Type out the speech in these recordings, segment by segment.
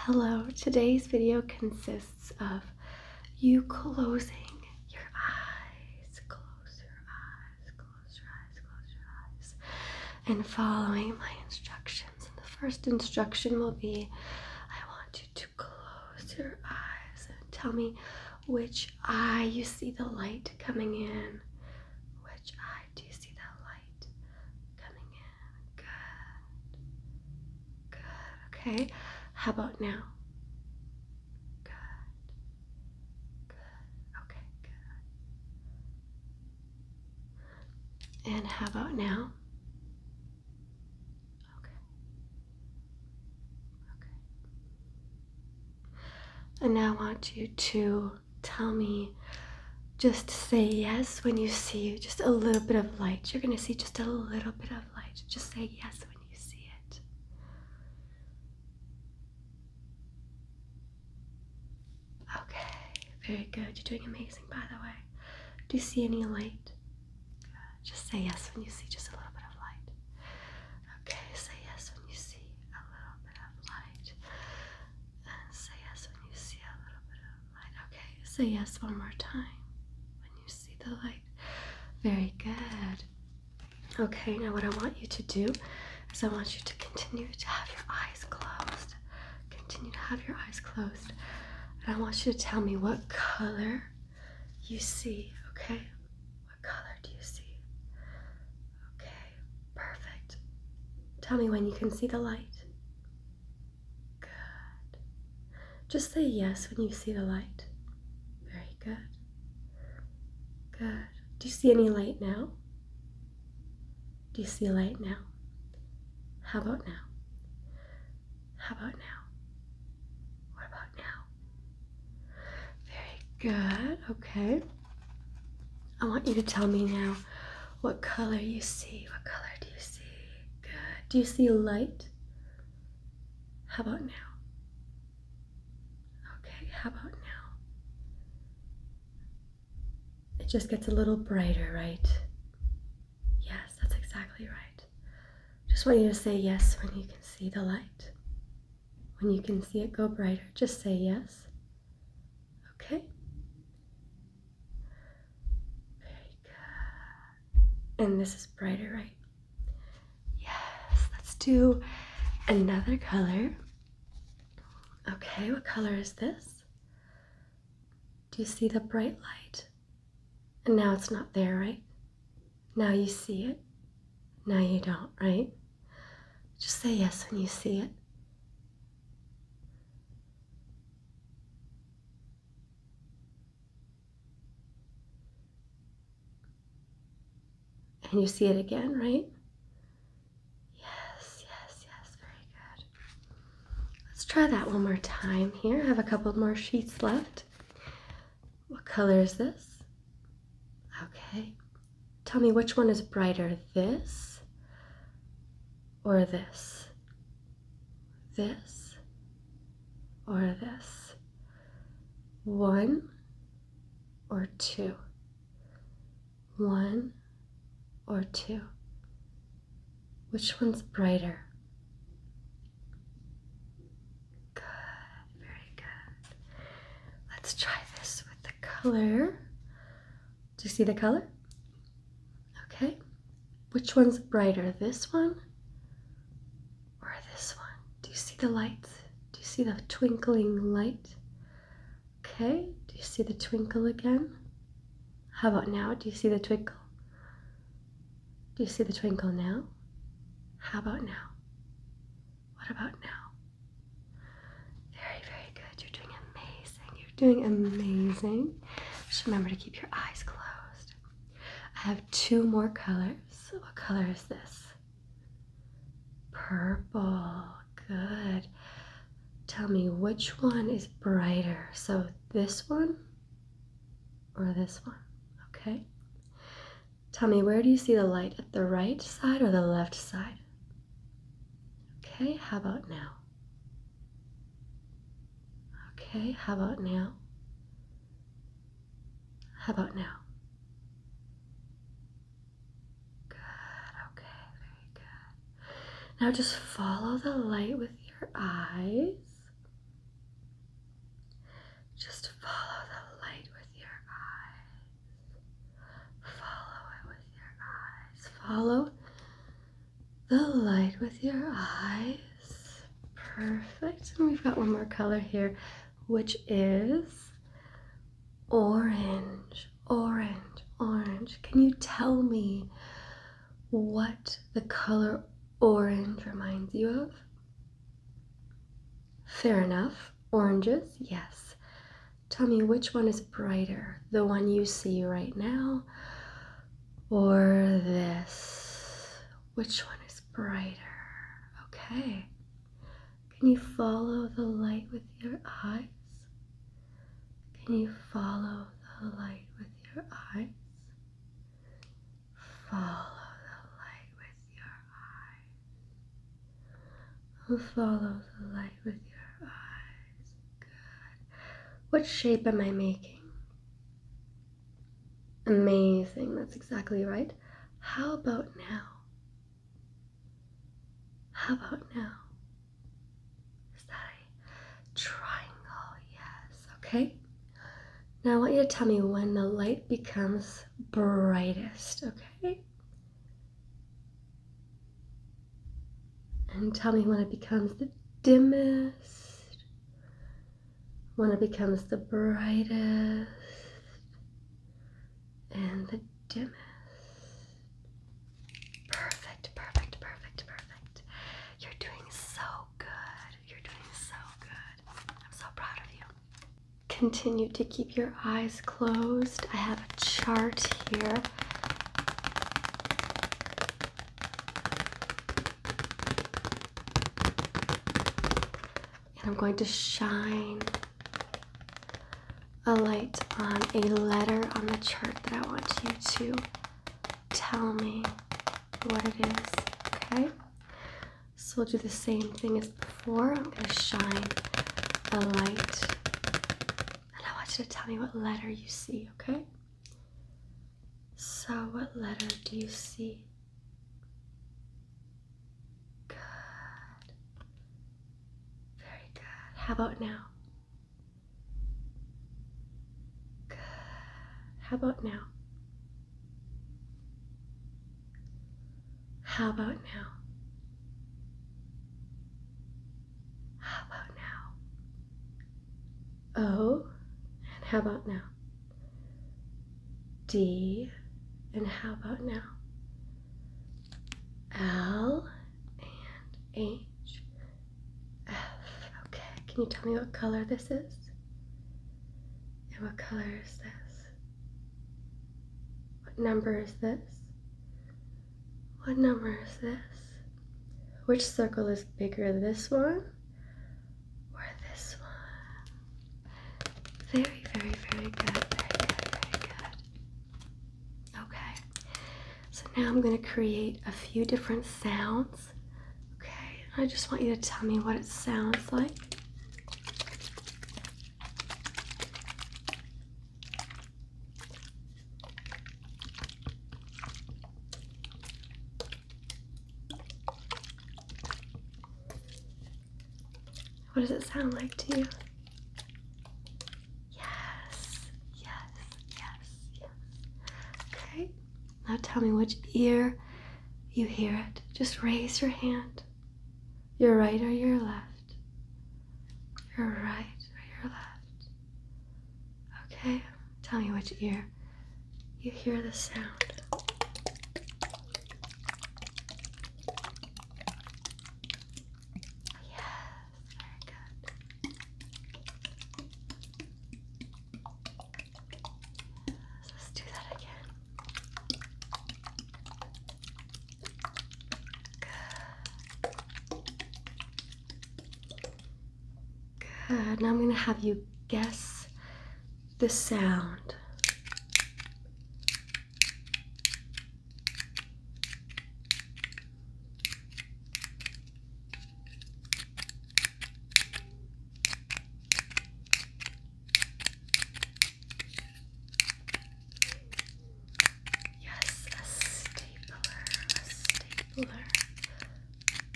Hello, today's video consists of you closing your eyes, close your eyes, close your eyes, close your eyes, and following my instructions. the first instruction will be I want you to close your eyes and tell me which eye you see the light coming in. Which eye do you see the light coming in? Good. Good. Okay. How about now? Good. Good. Okay, good. And how about now? Okay. Okay. And now I want you to tell me just say yes when you see just a little bit of light. You're going to see just a little bit of light. Just say yes when you see it. Okay, very good. You're doing amazing, by the way. Do you see any light? Good. Just say yes when you see just a little bit of light. Okay, say yes when you see a little bit of light. And say yes when you see a little bit of Okay, say yes one more time when you see the light. Very good. Okay, now what I want you to do is I want you to continue to have your eyes closed. Continue to have your eyes closed. And I want you to tell me what color you see, okay? What color do you see? Okay, perfect. Tell me when you can see the light. Good. Just say yes when you see the light. Very good. Good. Do you see any light now? Do you see light now? How about now? How about now? What about now? Very good. Okay. I want you to tell me now what color you see? What color do you see? Good. Do you see light? How about now? Okay, how about now? It just gets a little brighter, right? Yes, that's exactly right. Just want you to say yes when you can see the light. When you can see it go brighter, just say yes. Okay. Very good. And this is brighter, right? Yes. Let's do another color. Okay, what color is this? Do you see the bright light? And now it's not there, right? Now you see it. Now you don't, right? Just say yes when you see it. And you see it again, right? Yes, yes, yes, very good. Let's try that one more time here. I have a couple more sheets left. What color is this? Okay. Tell me which one is brighter, this or this, this or this, one or two, one or two. Which one's brighter? Good, very good. Let's try this with the color do you see the color? Okay. Which one's brighter, this one or this one? Do you see the light? Do you see the twinkling light? Okay, do you see the twinkle again? How about now? Do you see the twinkle? Do you see the twinkle now? How about now? What about now? Very, very good. You're doing amazing. You're doing amazing. Just remember to keep your eyes closed. I have two more colors. What color is this? Purple. Good. Tell me which one is brighter. So this one or this one? Okay. Tell me where do you see the light? At the right side or the left side? Okay, how about now? Okay, how about now? How about now? Good, okay, very good. Now just follow the light with your eyes. Just follow the light with your eyes. Follow it with your eyes. Follow the light with your eyes. Perfect. And we've got one more color here, which is orange, orange, orange. Can you tell me what the color orange reminds you of? Fair enough. Oranges, yes. Tell me which one is brighter, the one you see right now or this? Which one is brighter? Okay. Can you follow the light with your eyes? Can you follow the light with your eyes? Follow the light with your eyes. Follow the light with your eyes. What shape am I making? Amazing, that's exactly right. How about now? How about now? Is that a triangle? Yes, okay. Now I want you to tell me when the light becomes brightest, okay? And tell me when it becomes the dimmest, when it becomes the brightest, and the dimmest. Perfect, perfect, perfect, perfect. You're doing so good. You're doing so good. I'm so proud of you. Continue to keep your eyes closed. I have a chart here I'm going to shine a light on a letter on the chart that I want you to tell me what it is, okay? So we'll do the same thing as before. I'm going to shine a light and I want you to tell me what letter you see, okay? So, what letter do you see? Good. Very good. How about now? Good. How about now? How about now? How about now? O, oh, and how about now? D, and how about now? L and H, F. Okay, can you tell me what color this is? And what color is this? What number is this? What number is this? Which circle is bigger, this one or this one? Very, very, very good. Very good, very good. Okay. So now I'm going to create a few different sounds. Okay. I just want you to tell me what it sounds like. What does it sound like to you? Yes, yes, yes, yes. Okay, now tell me which ear you hear it. Just raise your hand. Your right or your left? left? Your right or your left? Okay, tell me which ear you hear the sound. Yes, very good. let's do that again. Good. Now I'm going to have you guess the sound. Yes, a stapler. A stapler.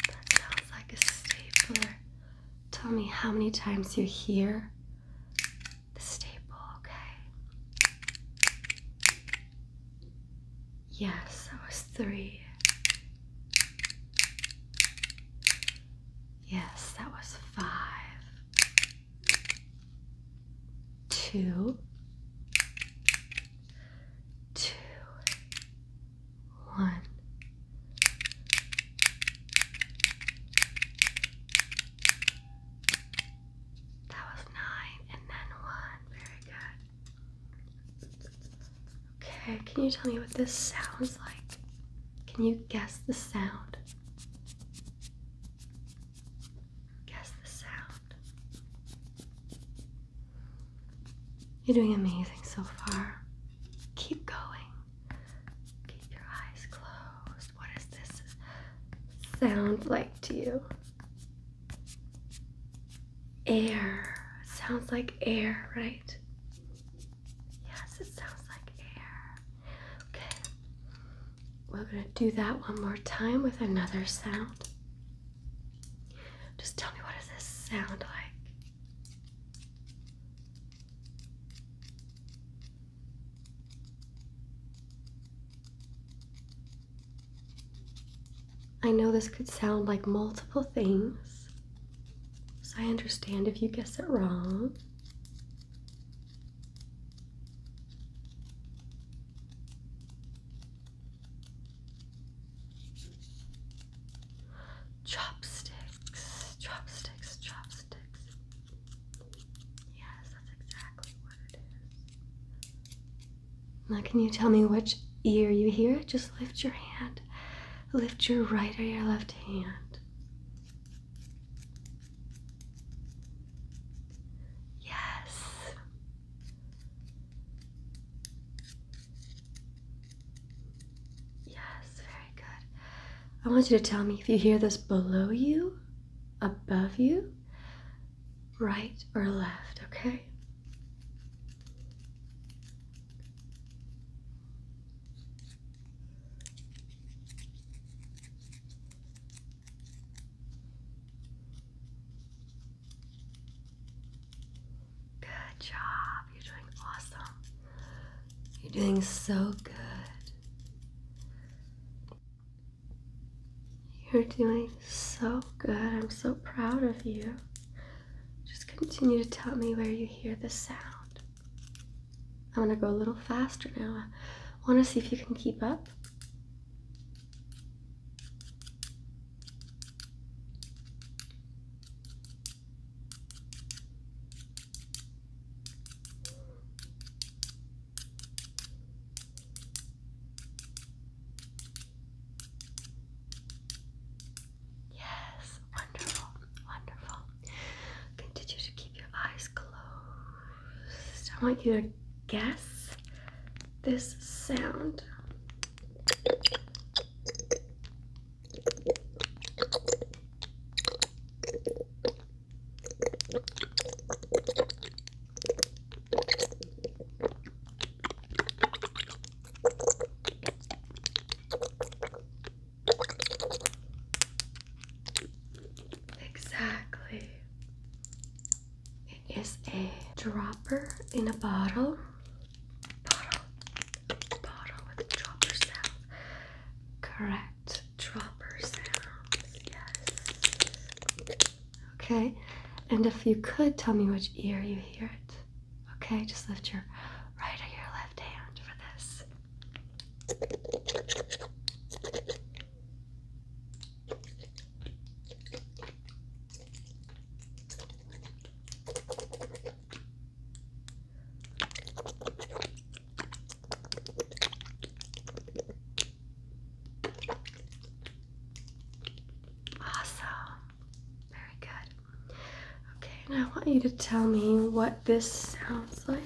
That sounds like a stapler. Tell me how many times you hear the staple, okay? Yes, that was three. Yes, that was five two, two, one. That was nine and then one. Very good. Okay, can you tell me what this sounds like? Can you guess the sound? Guess the sound. You're doing amazing so far. Keep going. Keep your eyes closed. What does this sound like to you? Air. sounds like air, right? Yes, it sounds like air. Okay. We're going to do that one more time with another sound. Just tell me what does this sound like? I know this could sound like multiple things, so I understand if you guess it wrong. Chopsticks, chopsticks, chopsticks. Yes, that's exactly what it is. Now, can you tell me which ear you hear it? Just lift your hand. Lift your right or your left hand. Yes. Yes, very good. I want you to tell me if you hear this below you, above you, right or left, okay? Good job. You're doing awesome. You're doing so good. You're doing so good. I'm so proud of you. Just continue to tell me where you hear the sound. I'm gonna go a little faster now. I wanna see if you can keep up. Yes, wonderful, wonderful. Continue to keep your eyes closed. I want you to guess this sound. Exactly. It is a dropper in a bottle. Bottle. Bottle with a dropper Correct. Dropper sound. Yes. Okay. And if you could tell me which ear you hear it. Okay, just lift your right or your left hand for this. Awesome. Very good. Okay, now I want you to tell me what what this sounds like.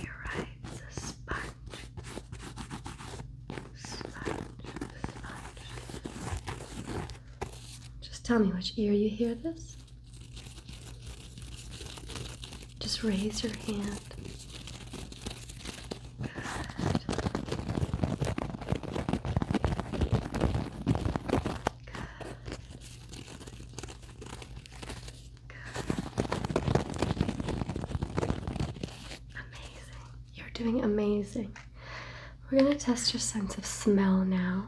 You're right, it's a sponge. Sponge, sponge. Just tell me which ear you hear this. Just raise your hand. Good. Good. Amazing. You're doing amazing. We're going to test your sense of smell now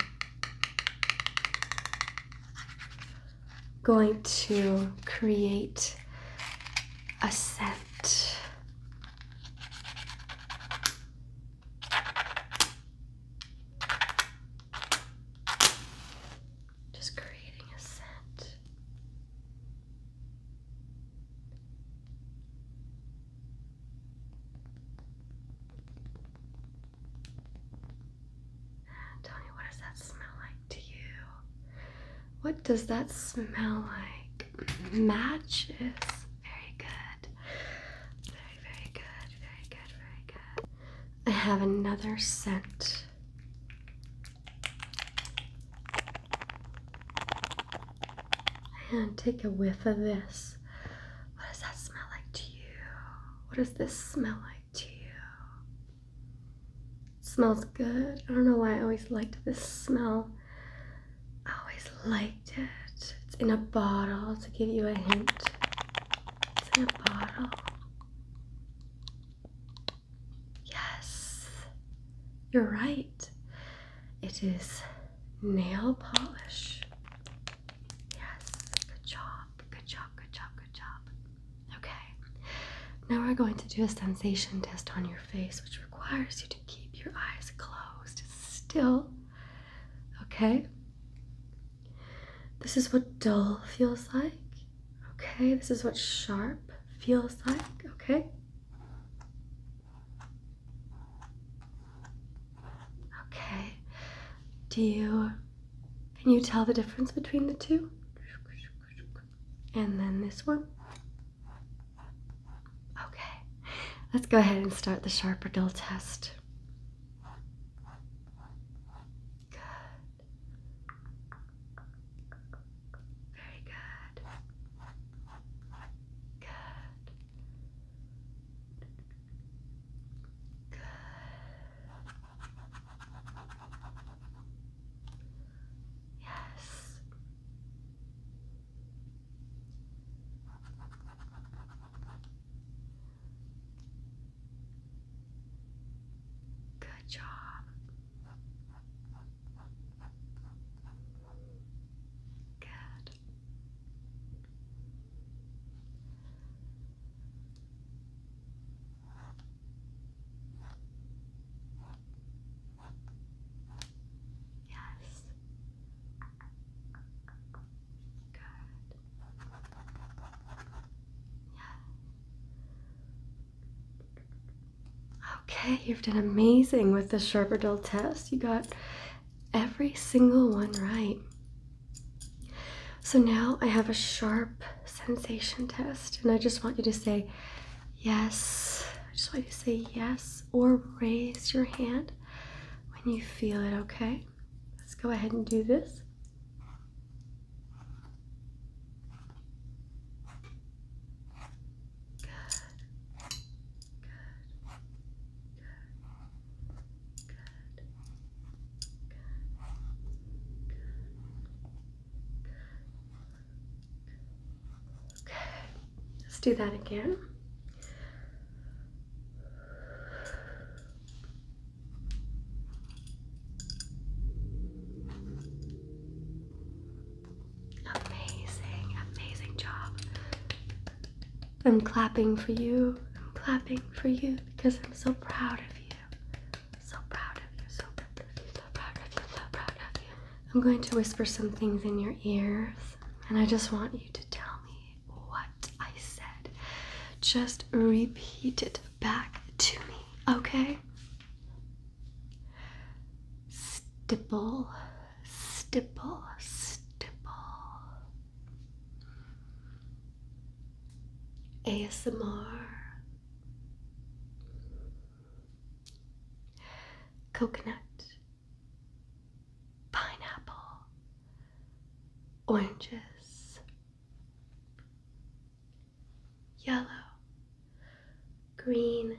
going to create a scent. Just creating a scent. Tell what does that smell like to you? What does that smell like? Matches. Very good. Very, very good. Very good. Very good. I have another scent. And take a whiff of this. What does that smell like to you? What does this smell like to you? Smells good. I don't know why I always liked this smell. I always liked it. It's in a bottle to give you a hint. It's in a bottle. Yes, you're right. It is nail polish. Yes, good job, good job, good job, good job. Okay, now we're going to do a sensation test on your face, which requires you to keep your eyes closed still. Okay, this is what dull feels like. Okay, this is what sharp feels like. Okay. Okay, do you can you tell the difference between the two? And then this one? Okay, let's go ahead and start the sharper dull test. Good. Very good. Good. Good. Yes. Good job. Good. Yes. Good. Yeah. Okay, you've done amazing with the Sharp Dull test. You got every single one right. So now I have a sharp sensation test, and I just want you to say yes. I just want you to say yes or raise your hand when you feel it, okay? Let's go ahead and do this. Good. Good. Good. Okay. Let's do that again. Amazing, amazing job. I'm clapping for you. I'm clapping for you because I'm so proud of you. So proud of you. So proud of you. So proud of you. So proud of you. I'm going to whisper some things in your ears, and I just want you to tell me what I said. Just repeat it back to me, okay? Stipple, stipple, stipple, ASMR, coconut, pineapple, oranges, yellow, green,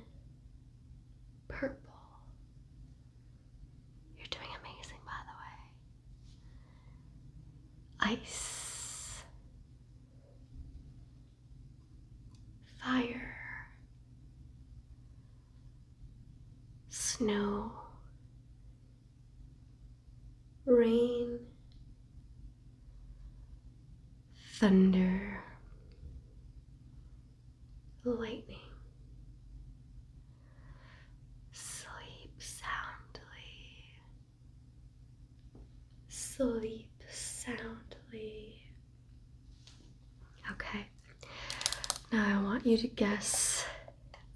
purple. You're doing amazing, by the way ice, fire, snow, rain, thunder, lightning. Sleep soundly. Sleep soundly. Okay, now I want you to guess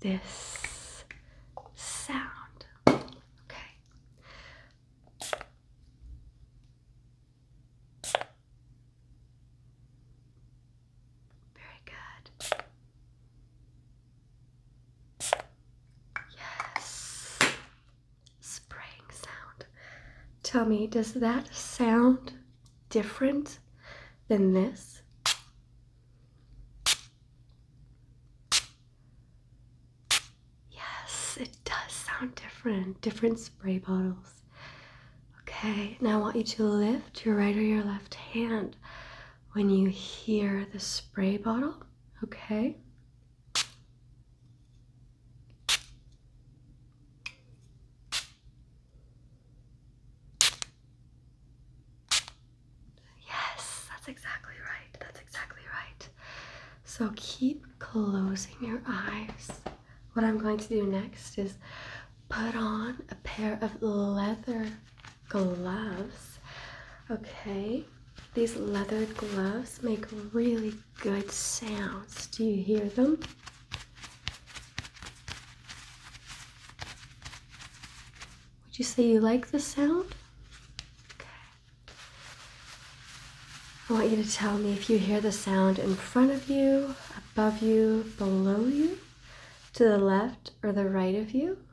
this sound. Okay. Very good. Yes. Spraying sound. Tell me, does that sound different than this? Yes, it does sound different. Different spray bottles. Okay, now I want you to lift your right or your left hand when you hear the spray bottle, okay? Yes, that's exactly right. That's exactly right. So keep closing your eyes. What I'm going to do next is put on a pair of leather gloves. Okay, these leather gloves make really good sounds. Do you hear them? Would you say you like the sound? Okay. I want you to tell me if you hear the sound in front of you, above you, below you, to the left or the right of you.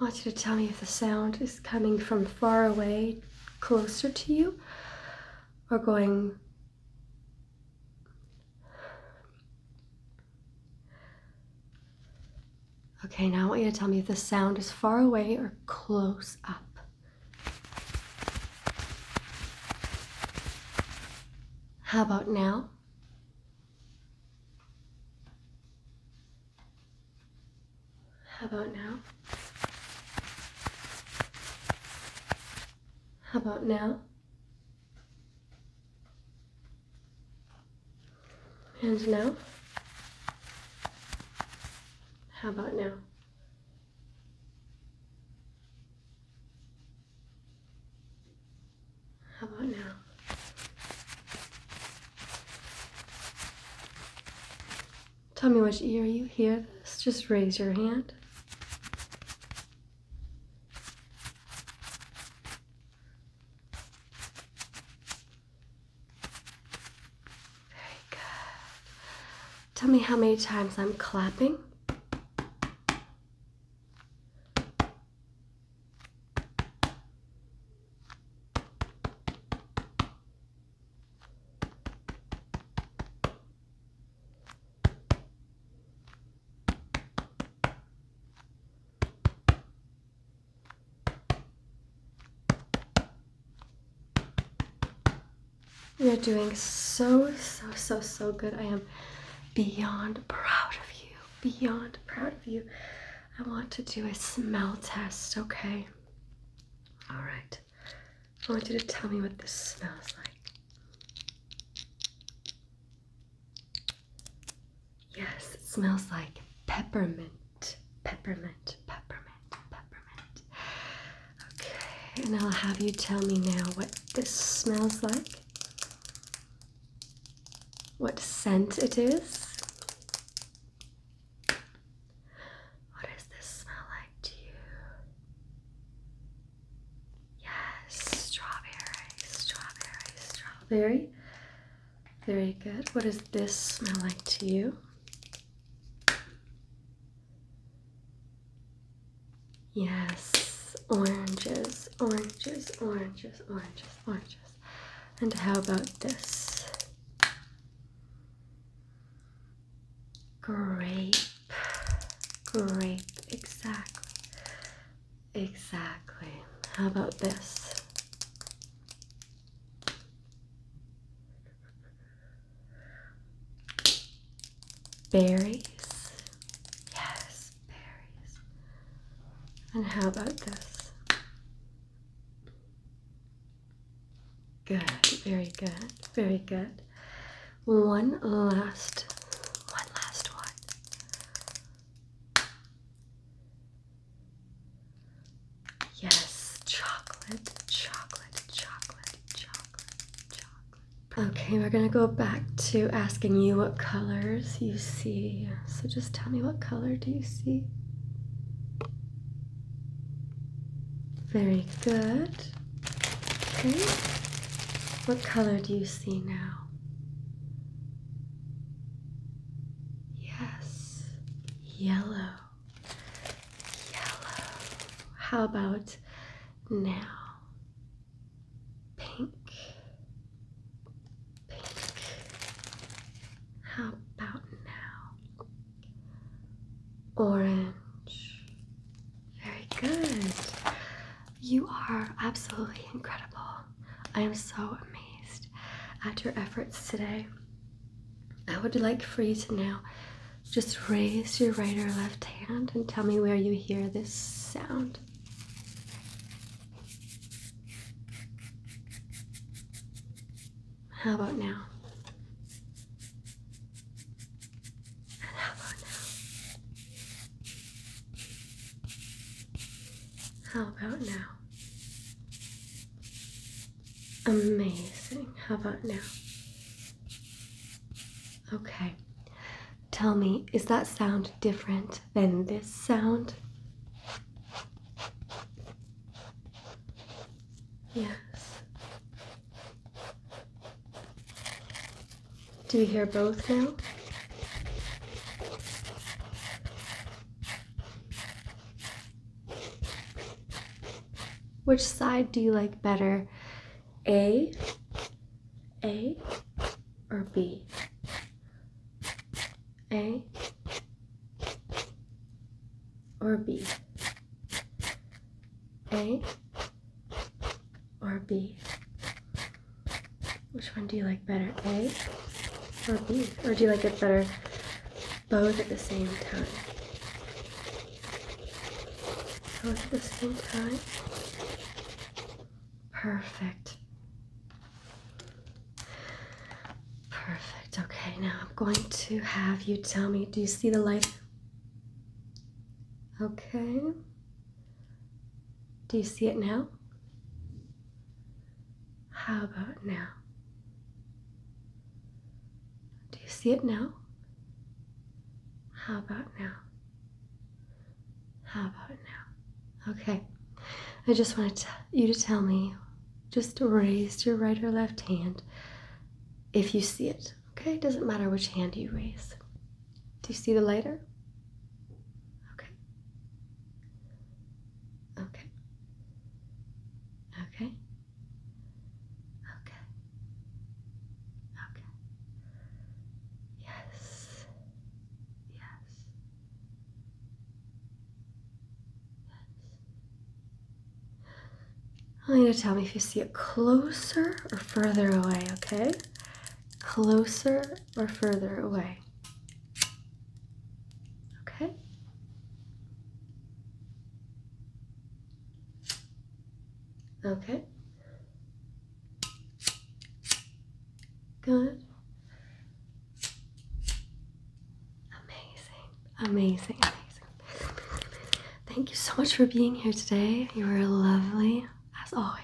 I want you to tell me if the sound is coming from far away, closer to you, or going. Okay, now I want you to tell me if the sound is far away or close up. How about now? How about now? How about now? And now? How about now? How about now? Tell me which ear you hear this. Just raise your hand. Very good. Tell me how many times I'm clapping. You're doing so, so, so, so good. I am beyond proud of you. Beyond proud of you. I want to do a smell test, okay? All right. I want you to tell me what this smells like. Yes, it smells like peppermint. Peppermint peppermint, peppermint. Okay, and I'll have you tell me now what this smells like, what scent it is. What does this smell like to you? Yes, strawberry, strawberry, strawberry. Very good. What does this smell like to you? Yes, oranges, oranges, oranges, oranges, oranges. And how about this? Grape, grape, exactly, exactly. How about this? Berries. Yes, berries. And how about this? Good, very good, very good. One last, one last one. Yes, chocolate, chocolate, chocolate, chocolate, chocolate. Okay, we're gonna go back to asking you what colors you see. So just tell me what color do you see? Very good. Okay. What color do you see now? Yes, yellow yellow. How about now? Pink, pink. How about now? Orange. Very good. You are absolutely incredible. I am so amazed at your efforts today. I would like for you to now just raise your right or left hand and tell me where you hear this sound. How about now? how about now? How about now? Amazing. How about now? Okay. Tell me, is that sound different than this sound? Yes. Do you hear both now? Which side do you like better? A, A, or B? A or B? A or B? Which one do you like better? A or B? Or do you like it better both at the same time. Both at the same time. Perfect. Perfect. Okay, now I'm going to have you tell me do you see the light? Okay. Do you see it now? How about now? Do you see it now? How about now? How about now? Okay. I just wanted you to tell me, just raise your right or left hand if you see it. Okay? It doesn't matter which hand you raise. Do you see the lighter? Okay. Okay. Okay. Okay. Okay. Yes. Yes. Yes. I want you to tell me if you see it closer or further away, okay? Closer or further away. Okay. Okay. Good. Amazing. Amazing. Amazing. Thank you so much for being here today. You were lovely as always.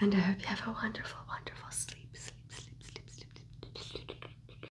And I hope you have a wonderful, wonderful sleep. Sleep, sleep, sleep, sleep, sleep.